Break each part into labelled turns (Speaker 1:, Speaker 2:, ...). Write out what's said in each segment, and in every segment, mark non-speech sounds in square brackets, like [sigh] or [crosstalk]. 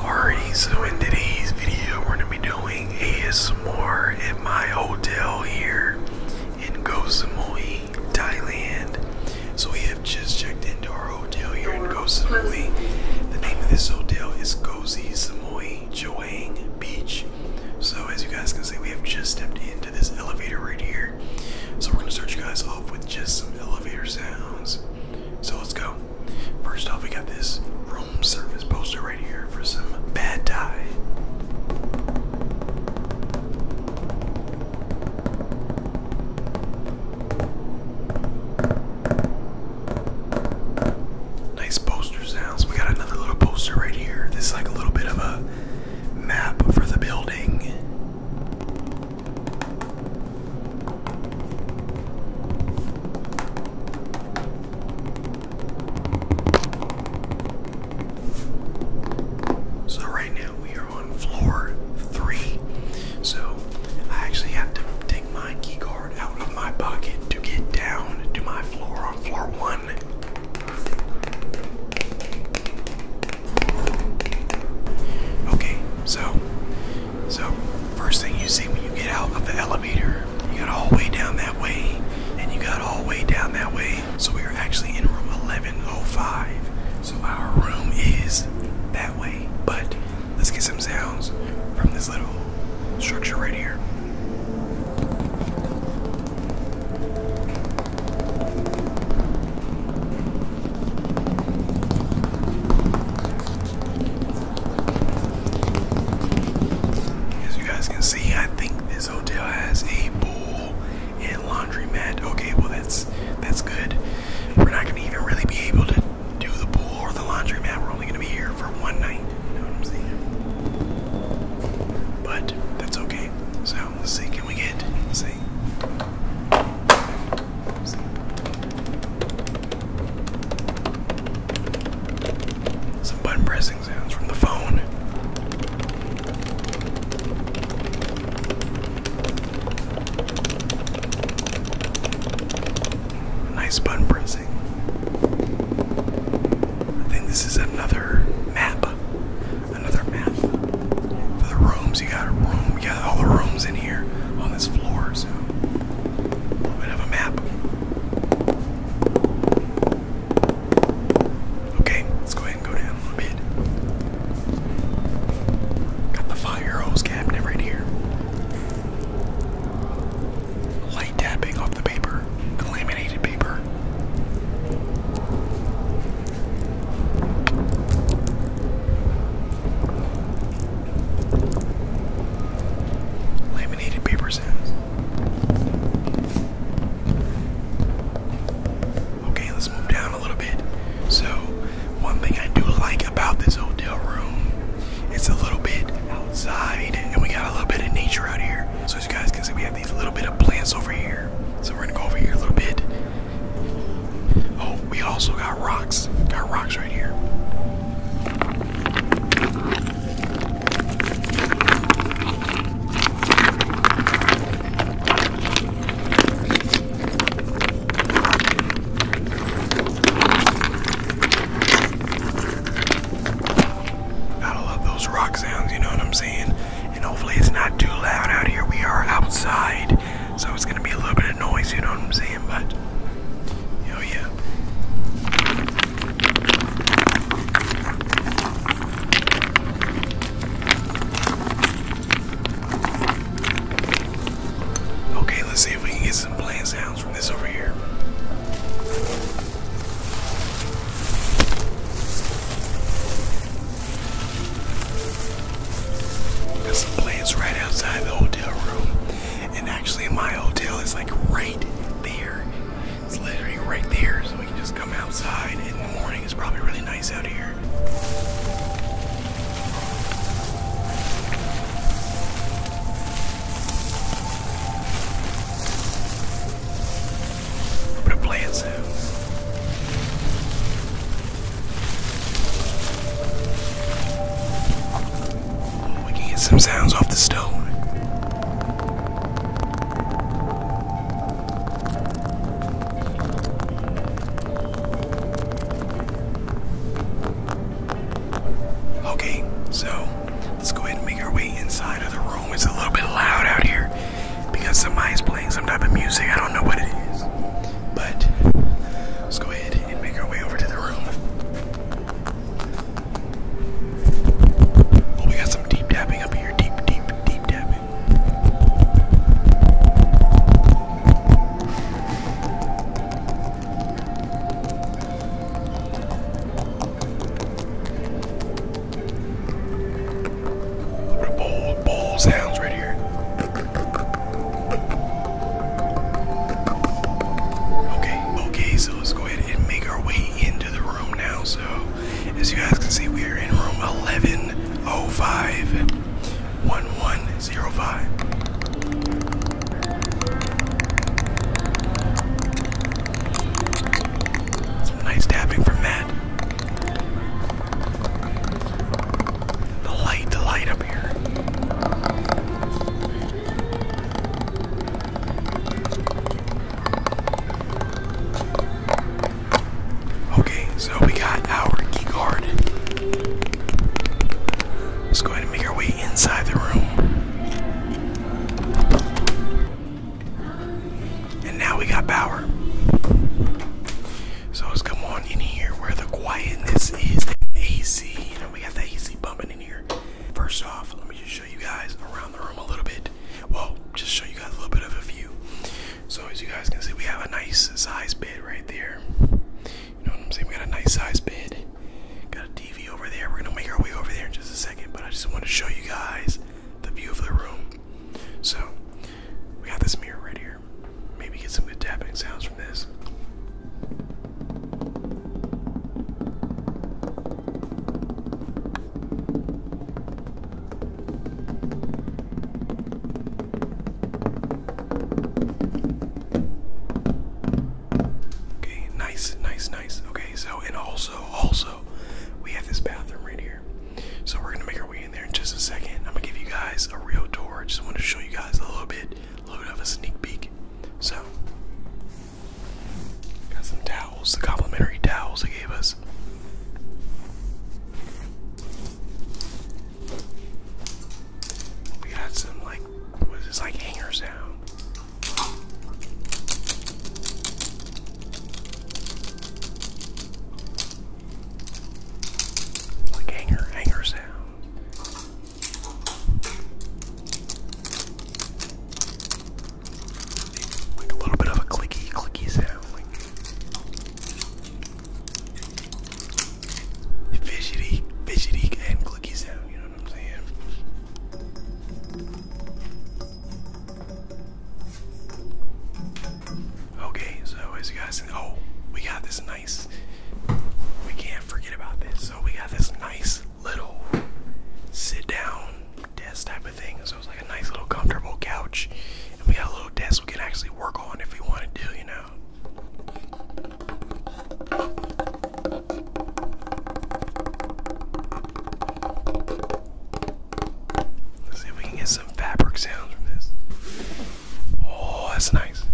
Speaker 1: Alright, so in today's video, we're gonna be doing ASMR at my hotel here in Koh Samui, Thailand. So we have just checked into our hotel here in Koh Samui. The name of this hotel is Cozy Samui Joang Beach. So as you guys can see, we have just stepped into this elevator right here. So we're gonna start you guys off with just some elevator sounds. So let's go. First off, we got this room service poster right here for some bad tie. Nice poster sounds. We got another little poster right here. This is like a little bit of a map for the building. So right now we are on floor three. So I actually have to take my key card out of my pocket to get down to my floor on floor one. Okay, so so, first thing you see when you get out of the elevator, you got all the way down that way, and you got all the way down that way. So, we are actually in room 1105. So, our room is that way. But let's get some sounds from this little structure right here. As you guys can see, I think this hotel has a pool and laundry mat. Okay, well that's that's good. We're not gonna even really be able to do the pool or the laundry mat. We're only gonna be here for one night. But that's okay. So let's see, can we get let's see? Some button pressing sounds from the phone. Nice button pressing. I think this is another map. Another map. For the rooms, you got a room we got all the rooms in here on this floor, so a little bit of a map. Okay, let's go ahead and go down a little bit. Got the fire hose cabinet right here. Light tapping off the paper, laminated paper. Laminated paper sounds. Okay, let's move down a little bit. So, one thing I do like about this hotel room, it's a little bit outside, and we got a little bit of nature out here. So as you guys can see, we have these little bit of plants over here. So we're gonna go over here a little bit. Oh, we also got rocks. Got rocks right here. got love those rock sounds, you know what I'm saying? And hopefully it's not too loud out here. We are outside so it's gonna be a little bit of noise, you know what I'm saying? But oh yeah. Okay, let's see if we can get some playing sounds from this over here. Got some place right outside the hotel room. And actually my hotel is like right there. It's literally right there. So we can just come outside in the morning. It's probably really nice out here. But plants we can get some sounds off the stove. Okay, so let's go ahead and make our way inside of the room. It's a little bit loud out here because somebody's some type of music. I don't know what it is. But let's go ahead and make our way over to the room. Oh, we got some deep tapping up here. Deep, deep, deep tapping. The bowl, bowl sounds right here. Okay, okay, so let's go ahead and make our way into the room now. So, as you guys can see, we are in room 1105 1105. nice tapping from Matt. The light, the light up here. Okay, so we got our key card. Let's go ahead and make our way inside the room. And now we got power. So let's come on in here where the quietness is and AC. You know, we got the AC bumping in here. First off, let me just show you guys around the room a little bit. Well, just show you guys a little bit of a view. So as you guys can see, we have a nice size bed right there. You know what I'm saying? We got a nice size bed. Got a TV over there. We're gonna make our way over there in just a second, but I just want to show you guys the view of the room. So we got this mirror right here. Maybe get some good tapping sounds from this. Okay, nice, nice, nice. Okay, so and also, also, we have this bathroom right here. So we're gonna make our way getting there in just a second. I'm gonna give you guys a real tour. just want to show you guys a little bit, a little bit of a sneak peek. So, got some towels, the complimentary towels they gave us. We got some like, what is this like hangers down? Like hanger, hanger sound. Like a little bit of a clicky, clicky sound. Like fidgety, fidgety and clicky sound, you know what I'm saying? Okay, so as you guys oh, we got this nice we can't forget about this. So we got this nice little sit down desk type of thing. So it's like a nice little comfortable couch. And we got a little desk we can actually work on if we want to do, you know. Let's see if we can get some fabric sounds from this. Oh, that's nice.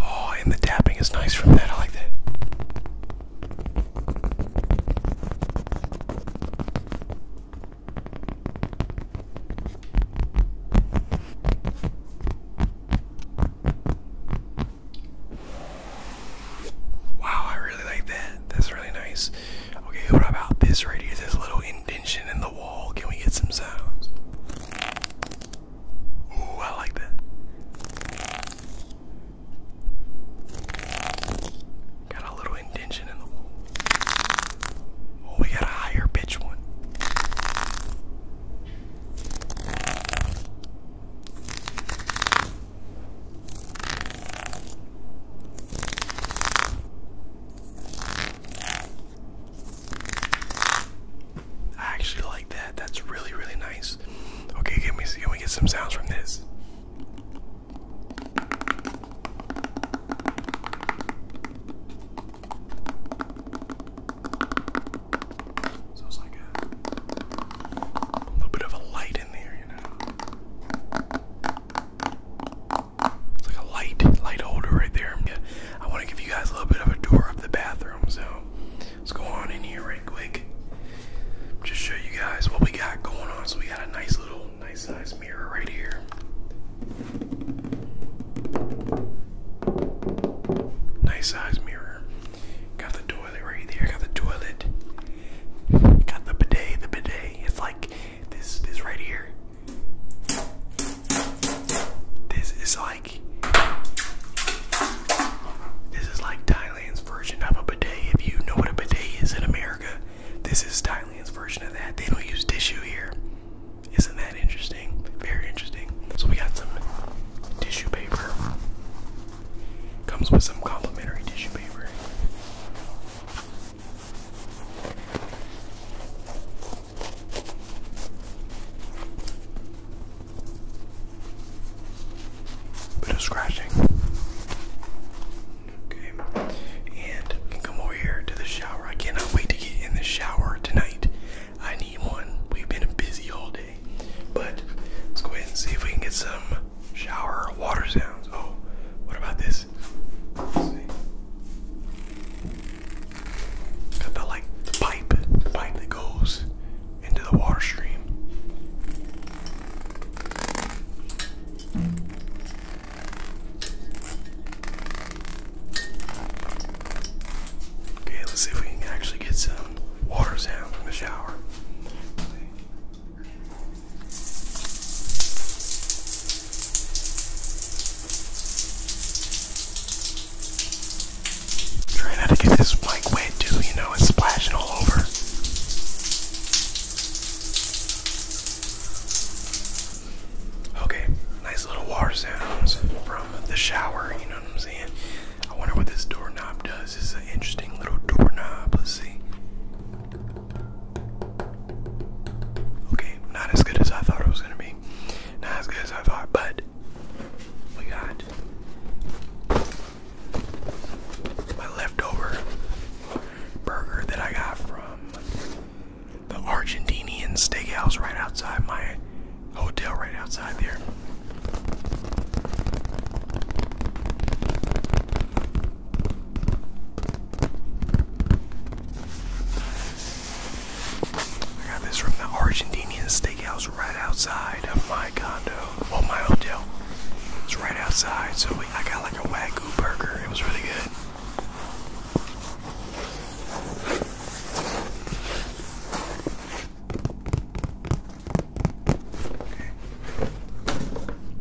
Speaker 1: Oh, and the tapping is nice from that. I like that. Wow, I really like that. That's really nice. Okay, what about this right here? This little indention in the wall. Can we get some sounds? Ooh, I like that. Got a little indention in the wall. Oh, we got a higher pitch one. I actually like that. That's really, really nice. Okay, can we, can we get some sounds from this? So it's like a, little bit of a light in there, you know. It's like a light, light holder right there. Yeah, I want to give you guys a little bit of a tour of the bathroom, so let's go on in here right quick. Just show you guys what we got going on. So we got a nice little, nice size mirror right here. Nice size mirror. Got the door toilet right there. I got the toilet. Got the bidet, the bidet. It's like this this right here. This is like this is like Thailand's version of a bidet. If you know what a bidet is in America, this is Thailand's version of that. They don't use tissue here. Isn't that interesting? Very interesting. So we got some tissue paper. Comes with some complimentary tissue paper. Bit of scratching. Okay, and come over here to the shower. I cannot wait to get in the shower tonight. I need one. We've been busy all but let's go ahead and see if we can get some shower water sounds. Oh, what about this? Got the like pipe, the pipe that goes into the water stream. Okay, let's see if we can actually get some water sound in the shower. Trying not to get this mic wet too, you know, it's splashing all over. Okay, nice little water sounds from the shower, you know what I'm saying? I wonder what this doorknob does. It's an interesting little doorknob. Let's see. Okay, not as good as I thought it was gonna be. Not as good as I thought, but we got my leftover burger that I got from the Argentinian steakhouse right outside my hotel right outside there. I got this from the Argentinian steakhouse right outside of my condo. Well, my hotel. It's right outside, so I got like a Wagyu burger. It was really good.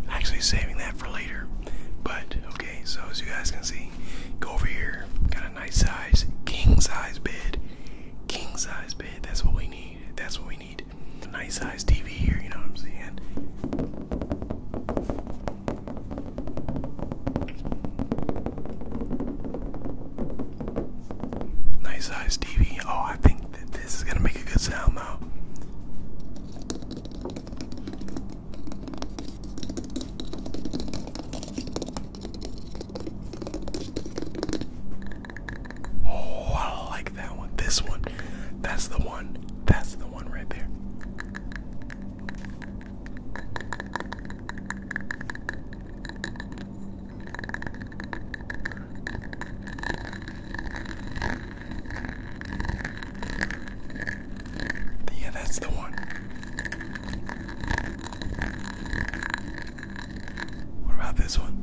Speaker 1: Actually saving that for later. But okay, so as you guys can see, go over here. Got a nice size, king size bed. King size bed. That's what we need. That's what we need. nice size TV here, you know what I'm saying? Nice size TV. Oh, I think that this is gonna make a good sound though. Oh, I like that one. This one. That's the one. That's the one right there. Yeah, that's the one. What about this one?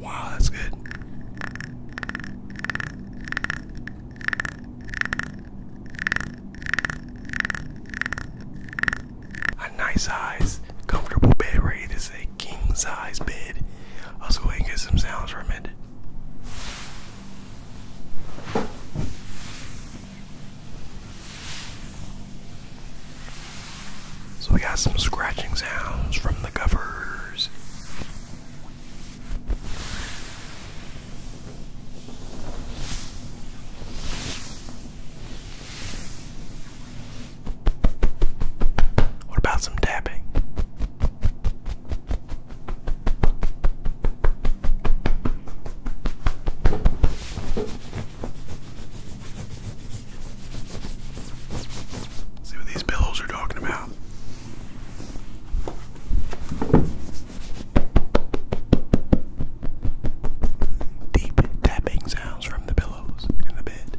Speaker 1: Wow, that's good. A nice size, comfortable bed rate is a king size bed. Let's go ahead get some sounds from it. So we got some scratching sounds from the covers. What about some dabbing? See what these pillows are talking about. Deep tapping sounds from the pillows and the bed.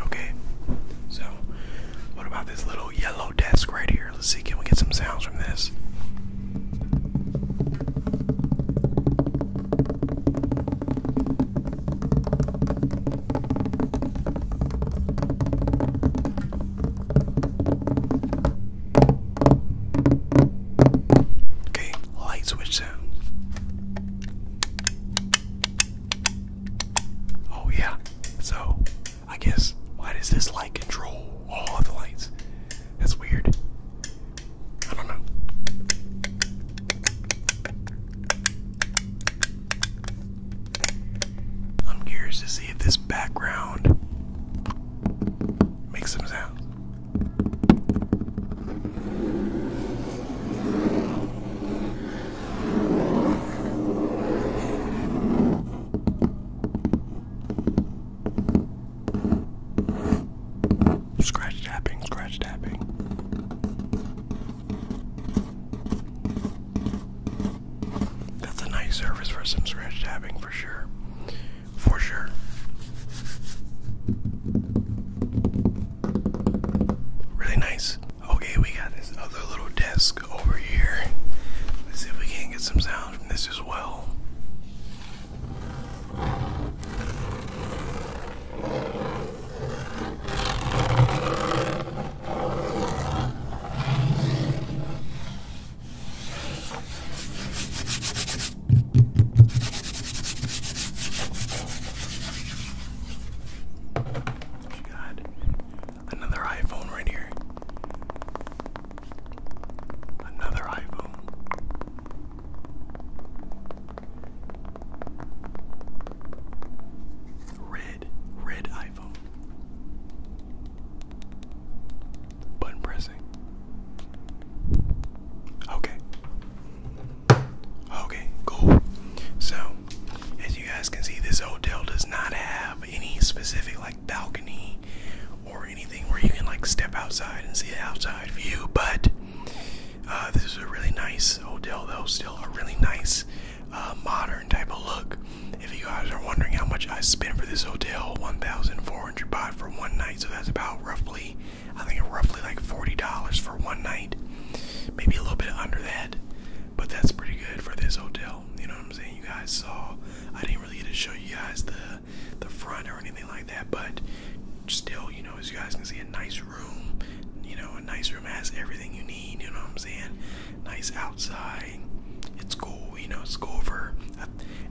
Speaker 1: Okay, so what about this little yellow desk right here? Let's see, can we get some sounds from this? Okay, light switch sound. Oh, yeah. So, I guess why does this light control all of the lights? That's weird. I don't know. I'm curious to see if this background makes some sound. Scratch tapping, scratch tapping. That's a nice surface for some scratch tapping for sure. For sure. Really nice. Okay, we got this other little desk over here. Let's see if we can get some sound from this as well. She got another iPhone right here. Another iPhone. Red, red iPhone. Button pressing. Okay. Okay, cool. So, as you guys can see, this hotel does not have any specific like balcony or anything where you can like step outside and see the outside view. But uh, this is a really nice hotel, though. Still a really nice uh, modern type of look. If you guys are wondering how much I spent for this hotel, 1,400 baht for one night. So that's about roughly, I think, roughly like $40 for one night. Maybe a little bit under that, but that's pretty good for this hotel. You know what I'm saying? You guys So I didn't really get to show you guys the the front or anything like that, but still, you know, as you guys can see, a nice room. You know, a nice room has everything you need. You know what I'm saying? Nice outside. It's cool. You know, it's cool for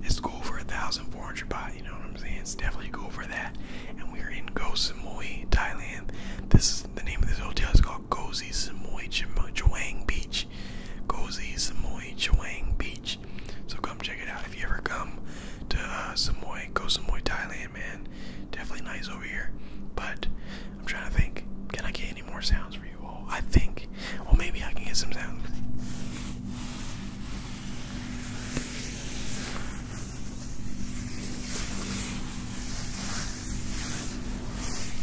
Speaker 1: it's cool for a thousand four hundred baht. You know what I'm saying? It's definitely cool for that. And we're in Koh Samui, Thailand. This is the name of this hotel It's called Kozy Samui Chuang Beach. Kozy Samui Chuang Beach. So come check it out. If you ever come to uh, Samoy, go Samoy, Thailand, man. Definitely nice over here. But I'm trying to think, can I get any more sounds for you all? I think, well, maybe I can get some sounds.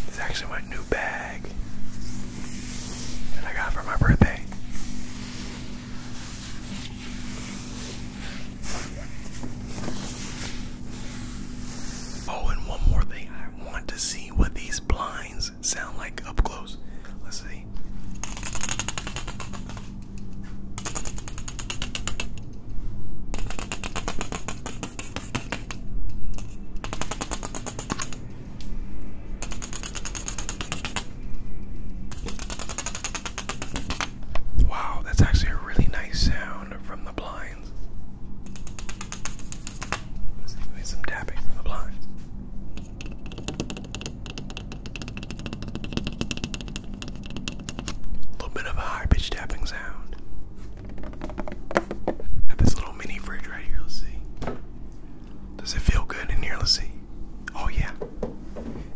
Speaker 1: It's actually my new bag that I got for my birthday. Oh, and one more thing. I want to see what these blinds sound like up close. Let's see. Wow, that's actually a really nice sound from the blinds. see, some tapping from the blinds. A little bit of a high pitched tapping sound. Got this little mini fridge right here, let's see. Does it feel good in here? Let's see. Oh yeah.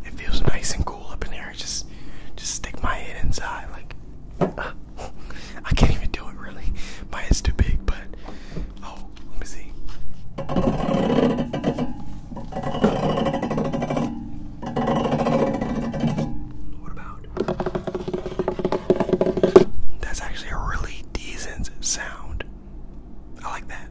Speaker 1: It feels nice and cool up in here. Just just stick my head inside like [laughs] I can't even do it really. My head's too big, but oh, let me see. What about? That's actually a really decent sound. I like that.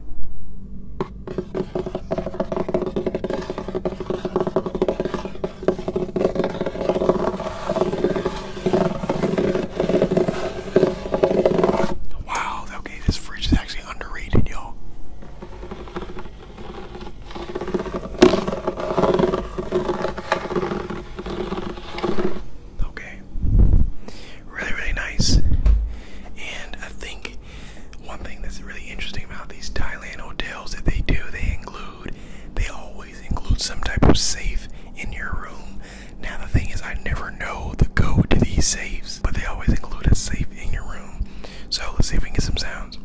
Speaker 1: Wow, okay, this fridge is actually underrated, y'all. Okay. Really, really nice. And I think one thing that's really interesting about these Thailand hotels that they do, they include, they always include some type of safe in your room. Now, the thing is, I never know the code to these safes, but they always include a safe in your room. So let's see if we get some sounds.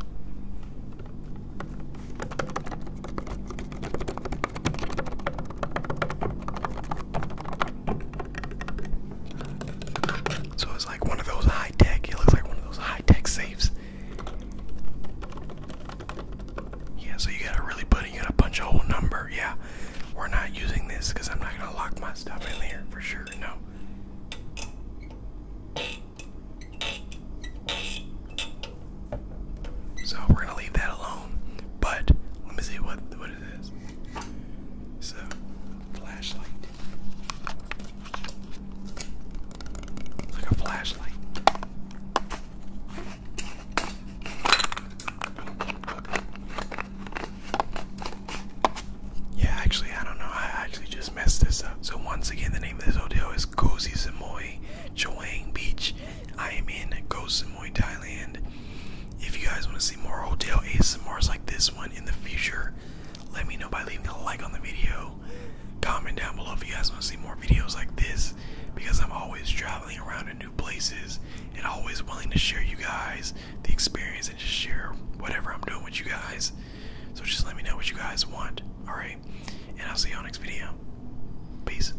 Speaker 1: So it's like one of those high tech, it looks like one of those high tech safes. Yeah, so you got a really put it, you gotta punch a whole number. Yeah, we're not using this because I'm not gonna lock my stuff in there for sure, no. So we're gonna leave that alone. But let me see what what it is. So flashlight. like a flashlight. Yeah, actually, I don't know. I actually just messed this up. So once again, the name of this hotel is Cozy Samui Beach I am in Koh Samui, Thailand. If you guys want to see more hotel ASMRs like this one in the future, let me know by leaving a like on the video. Comment down below if you guys want to see more videos like this because I'm always traveling around to new places and always willing to share you guys the experience and just share whatever I'm doing with you guys. So just let me know what you guys want, alright? And I'll see you on next video. Peace.